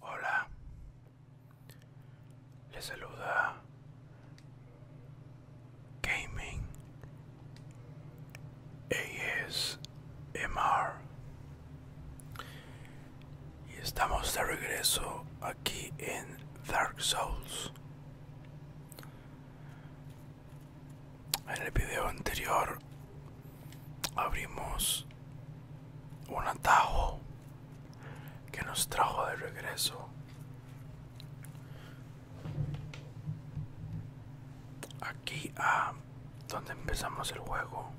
Hola, Le saluda Gaming ASMR y estamos de regreso aquí en Dark Souls en el video anterior abrimos un atajo que nos trajo de regreso aquí a donde empezamos el juego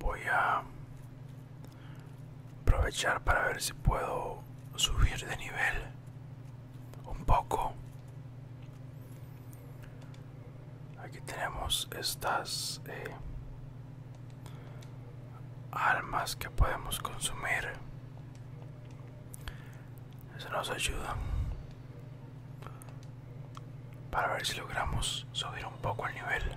voy a aprovechar para ver si puedo subir de nivel un poco aquí tenemos estas eh, armas almas que podemos consumir eso nos ayuda para ver si logramos subir un poco el nivel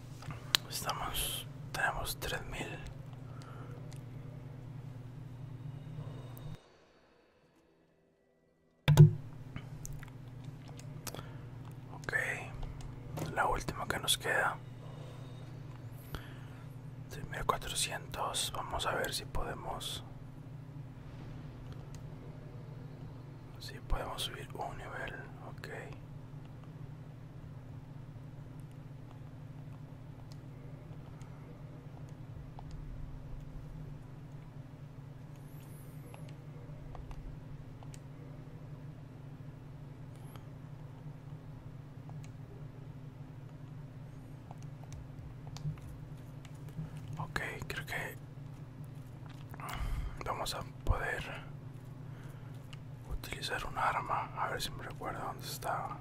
Estamos, tenemos 3000. Ok, la última que nos queda. 3400, vamos a ver si podemos... Si podemos subir un nivel, ok. Okay, creo que vamos a poder utilizar un arma a ver si me recuerda dónde estaba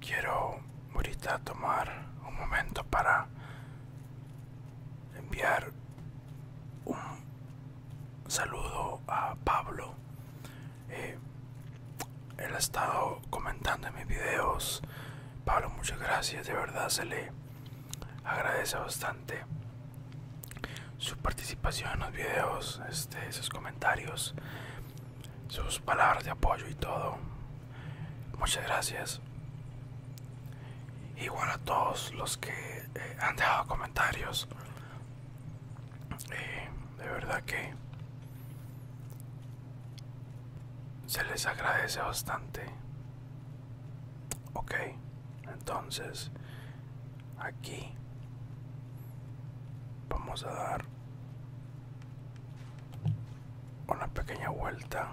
quiero ahorita tomar un momento para enviar un saludo a Pablo eh, él ha estado comentando en mis videos. Pablo, muchas gracias. De verdad se le agradece bastante su participación en los videos, este, sus comentarios, sus palabras de apoyo y todo. Muchas gracias. Igual a todos los que eh, han dejado comentarios, eh, de verdad que se les agradece bastante ok entonces aquí vamos a dar una pequeña vuelta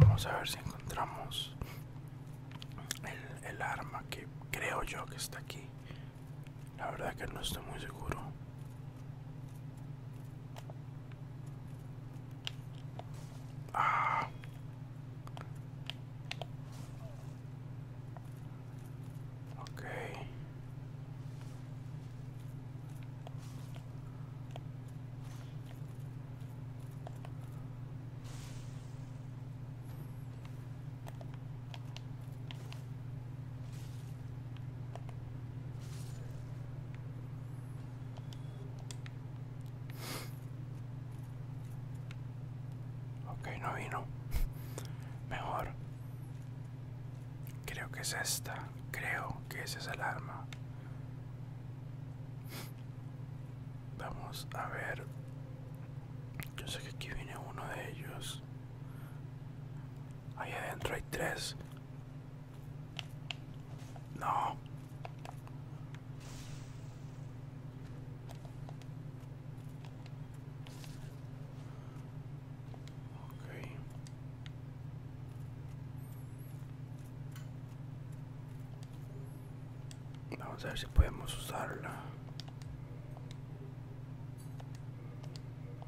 Vamos a ver si encontramos el, arma que creo yo que está aquí. La verdad que no estoy muy seguro. Ah. Ok, no vino. Mejor. Creo que es esta. Creo que esa es alarma. Vamos a ver. Yo sé que aquí viene uno de ellos. Ahí adentro hay tres. No. Okay. Vamos a ver si podemos usarla.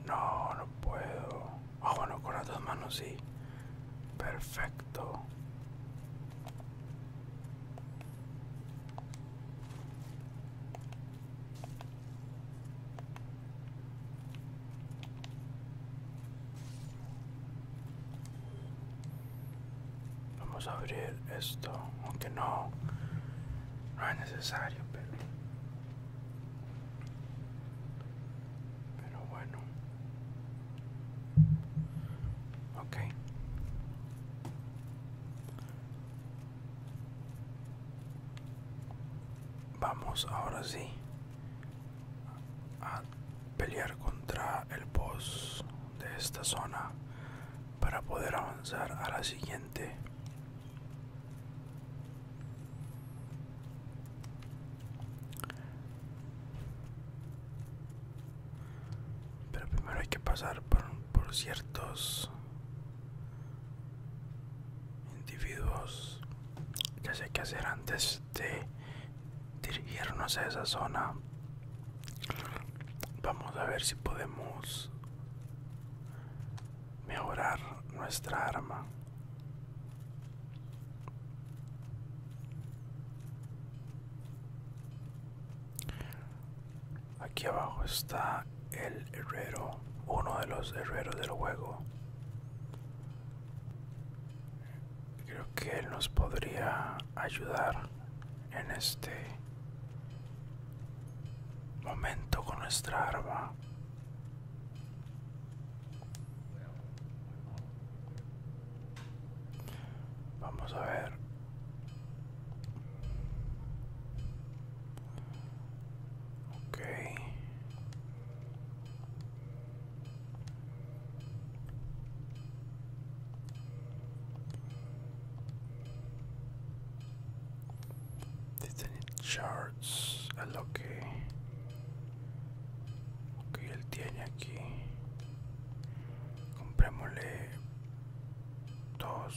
No, no puedo. Ah, bueno, con las dos manos sí. Perfecto. Vamos a abrir esto, aunque no, no es necesario, pero, pero bueno, ok. Vamos ahora sí a pelear contra el boss de esta zona para poder avanzar a la siguiente pero primero hay que pasar por, ciertos individuos ya sé qué hacer antes de dirigirnos a esa zona vamos a ver si podemos mejorar nuestra arma aquí abajo está el herrero uno de los herreros del juego Creo que él nos podría ayudar en este momento con nuestra arma. Vamos a ver. Ok. Destiny Charts a lo que, que él tiene aquí. Comprémosle dos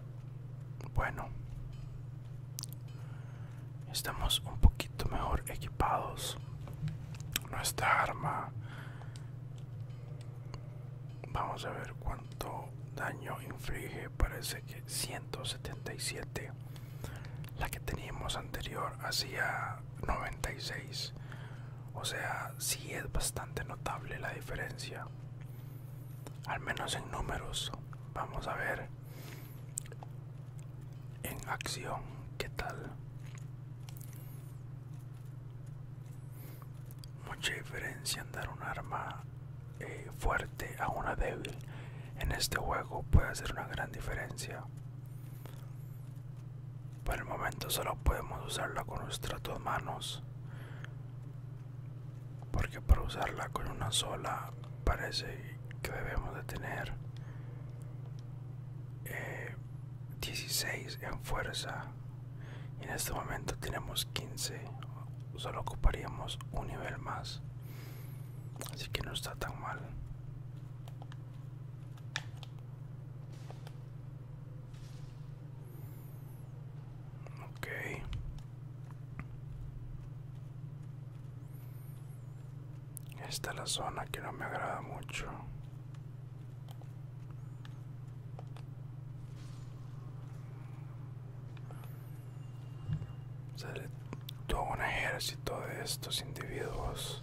Bueno, estamos un poquito mejor equipados. Nuestra arma. Vamos a ver cuánto daño inflige. Parece que 177. La que teníamos anterior hacía 96. O sea, si es bastante notable la diferencia al menos en números vamos a ver en acción qué tal mucha diferencia en dar un arma eh, fuerte a una débil en este juego puede hacer una gran diferencia por el momento solo podemos usarla con nuestras dos manos porque para usarla con una sola parece que debemos de tener 16 eh, en fuerza y en este momento tenemos 15 solo ocuparíamos un nivel más así que no está tan mal Ok. Esta es la zona que no me agrada mucho. Sale todo un ejército de estos individuos.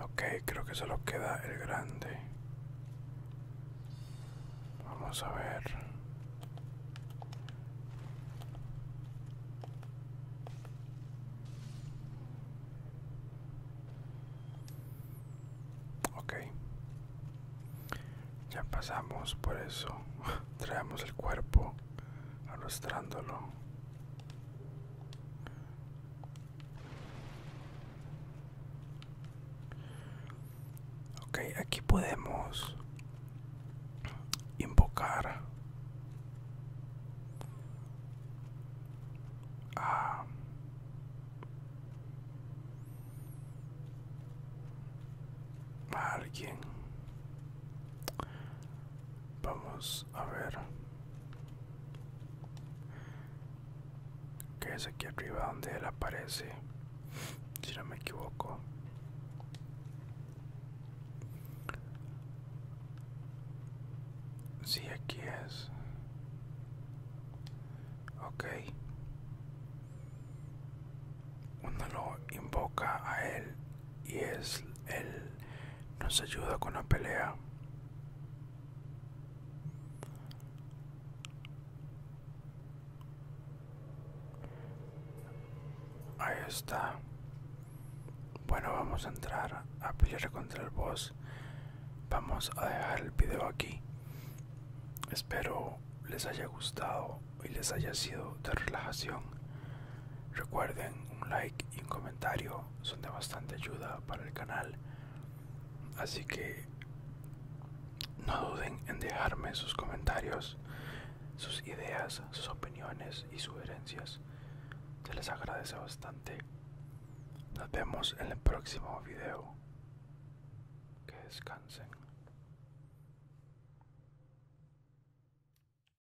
Ok, creo que solo queda el grande. Vamos a ver. Ok. Ya pasamos por eso. Traemos el cuerpo arrastrándolo. Ok, aquí podemos invocar a alguien. Vamos a ver que es aquí arriba donde él aparece si no me equivoco si aquí es ok uno lo invoca a él y es él nos ayuda con la pelea ahí está bueno vamos a entrar a pelear contra el boss vamos a dejar el video aquí espero les haya gustado y les haya sido de relajación Recuerden, un like y un comentario son de bastante ayuda para el canal. Así que no duden en dejarme sus comentarios, sus ideas, sus opiniones y sugerencias. Se les agradece bastante. Nos vemos en el próximo video. Que descansen.